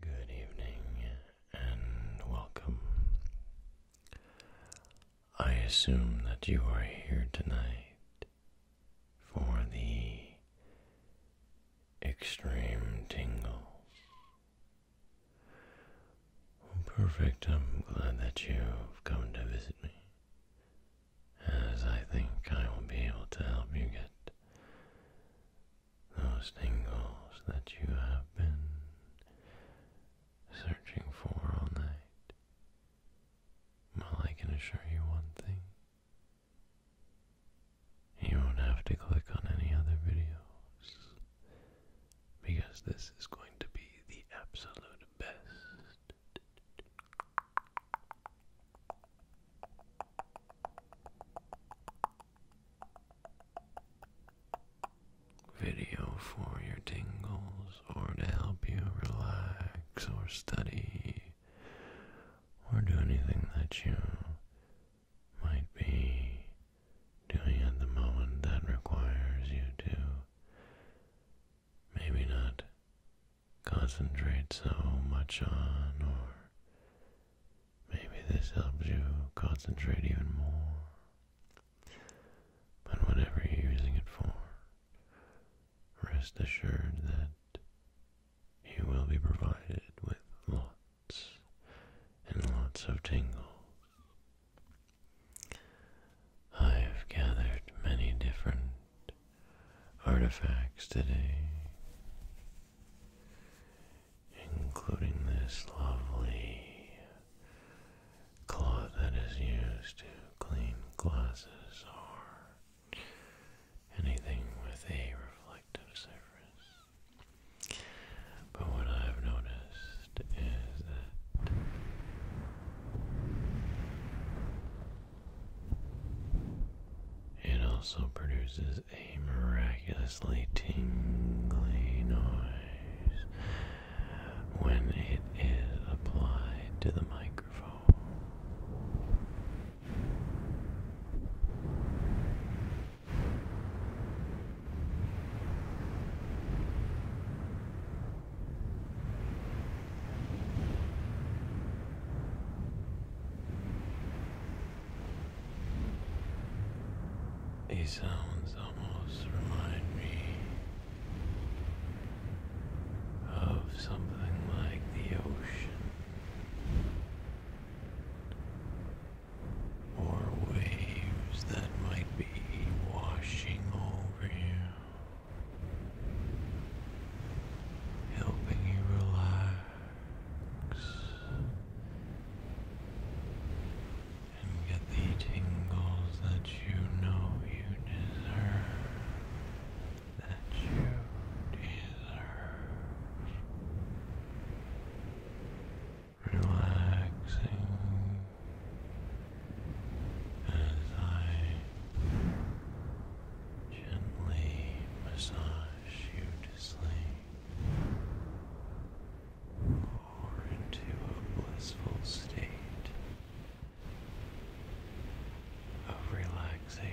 Good evening and welcome. I assume that you are here tonight for the extreme tingle. Perfect, I'm glad that you've come to visit me as I think I will be able to help you get those tingles that you have been searching for all night. Well, I can assure you one thing. You won't have to click on any other videos because this is going to be the absolute best Video for your tingles, or to help you relax, or study, or do anything that you might be doing at the moment that requires you to maybe not concentrate so much on, or maybe this helps you concentrate even more. But whatever you're using it for, rest assured that you will be provided with lots and lots of tingles. I've gathered many different artifacts today, including this lovely cloth that is used to clean glasses or anything with a reflective surface. But what I've noticed is that it also produces a miraculously tingly noise when it is applied to the microphone. These sounds almost remind me of something like the ocean or waves that might be washing over you helping you relax and get the tingles that you know you deserve. That you deserve. Relaxing as I gently massage you to sleep or into a blissful state of relaxation.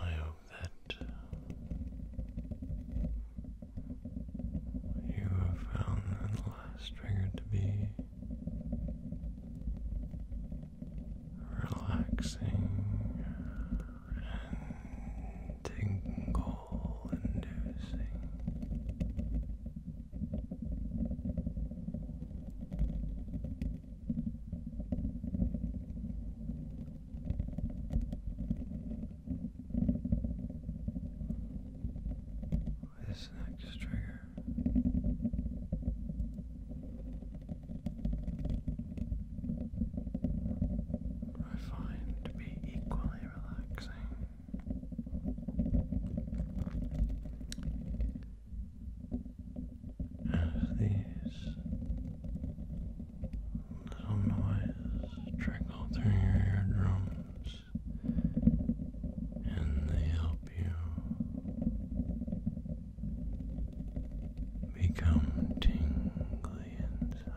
I hope that you have found the last trigger to be relaxing and tingle inducing. This next trigger I find to be equally relaxing. As these little noises trickle through your eardrums, and they help you become tingly inside.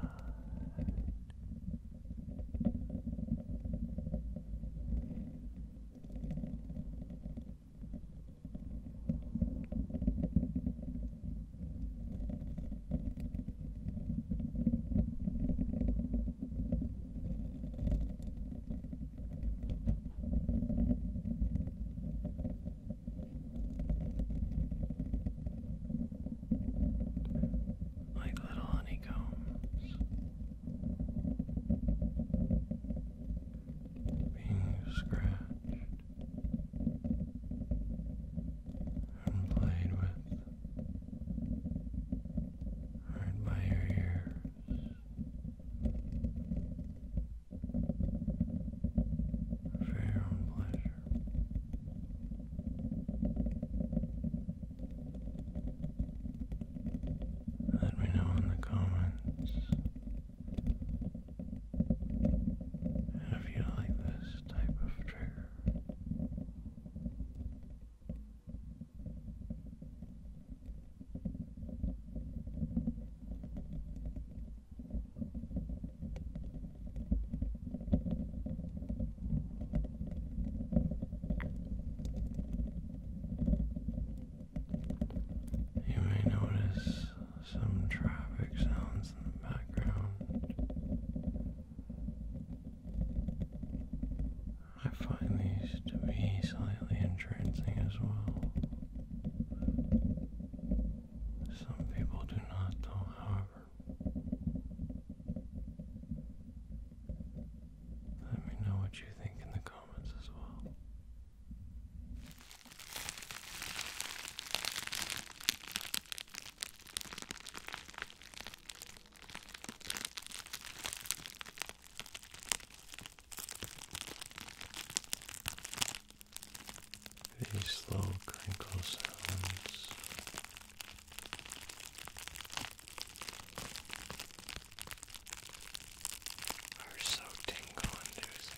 Like little honeycombs being scratched and played with, heard by your ears for your own pleasure. Let me know in the comments if you like this type of trigger. You may notice some traffic sounds in the background. I find these to be slightly entrancing as well. Some people do not, however. Let me know what you think in the comments as well. These low crinkle sounds are so tingle inducing.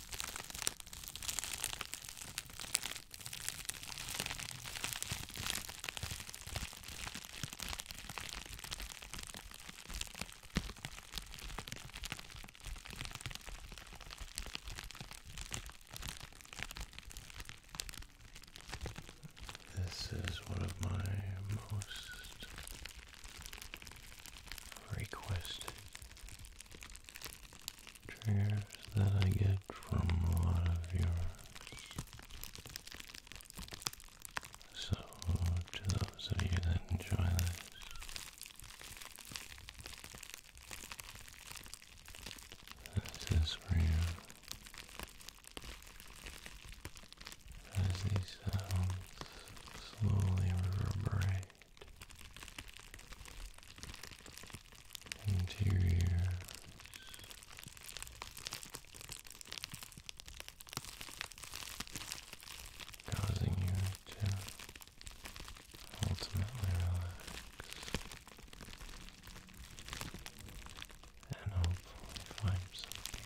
This is one of my most request triggers that I get from a lot of your so to those of you that enjoy this this is for you as these sounds slowly reverberate interiors causing you to ultimately relax and hopefully find some peace.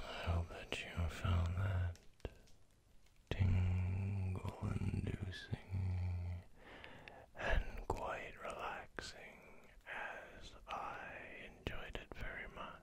I hope that you found that tingle inducing and quite relaxing as I enjoyed it very much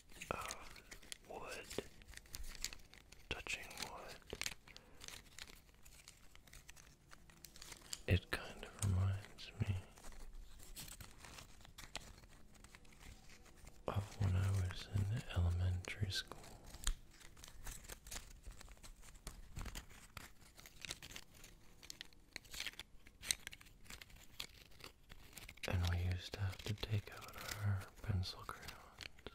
of wood, touching wood. It kind of reminds me of when I was in elementary school. And we used to have to take out our pencil crayons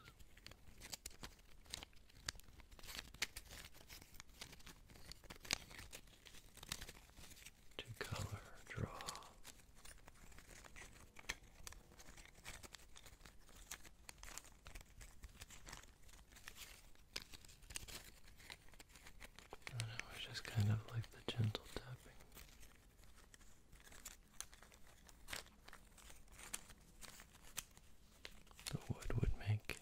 to color draw. I don't just kind of like the gentle tapping the wood would make.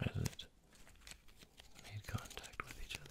As it made contact with each other.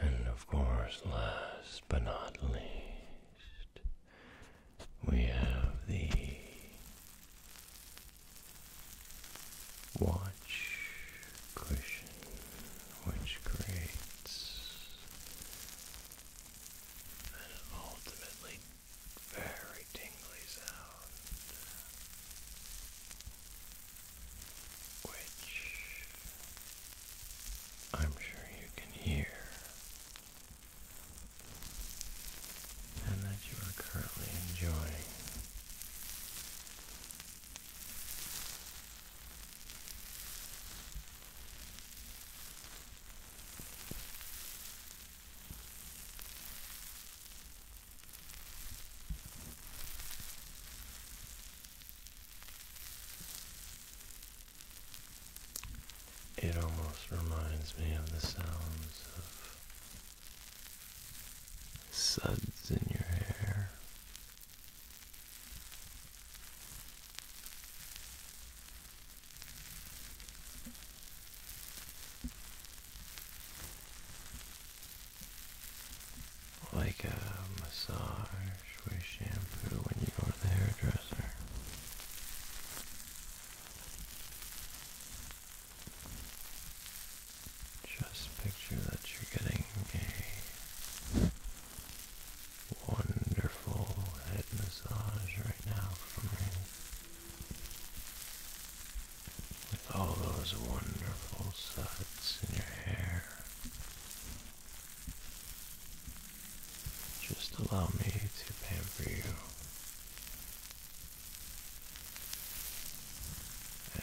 And of course, last but not least, we have the watch cushion, which creates an ultimately very tingly sound, which I'm sure you can hear, and that you are currently enjoying. It almost reminds me of the sounds of suds in your hair. Like a massage wear shampoo when you go to the hairdresser. Just picture that you're getting a wonderful head massage right now from me. With all those wonderful suds in your hair. Just allow me to pamper you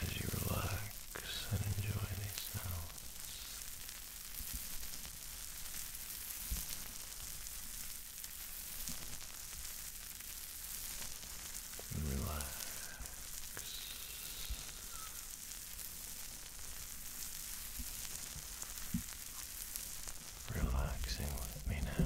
as you relax and enjoy these sounds. Relax. Relaxing with me now.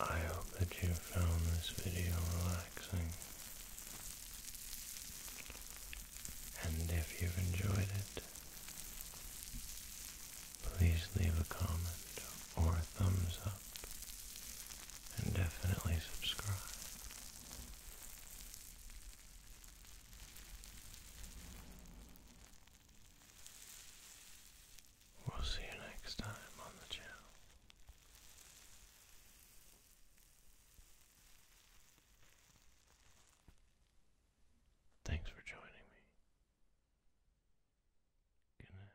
I hope that you found this video relaxing. And if you've enjoyed it, please leave a comment or a thumbs up and definitely subscribe. We'll see you next time on the channel. Thanks for joining me. Good night.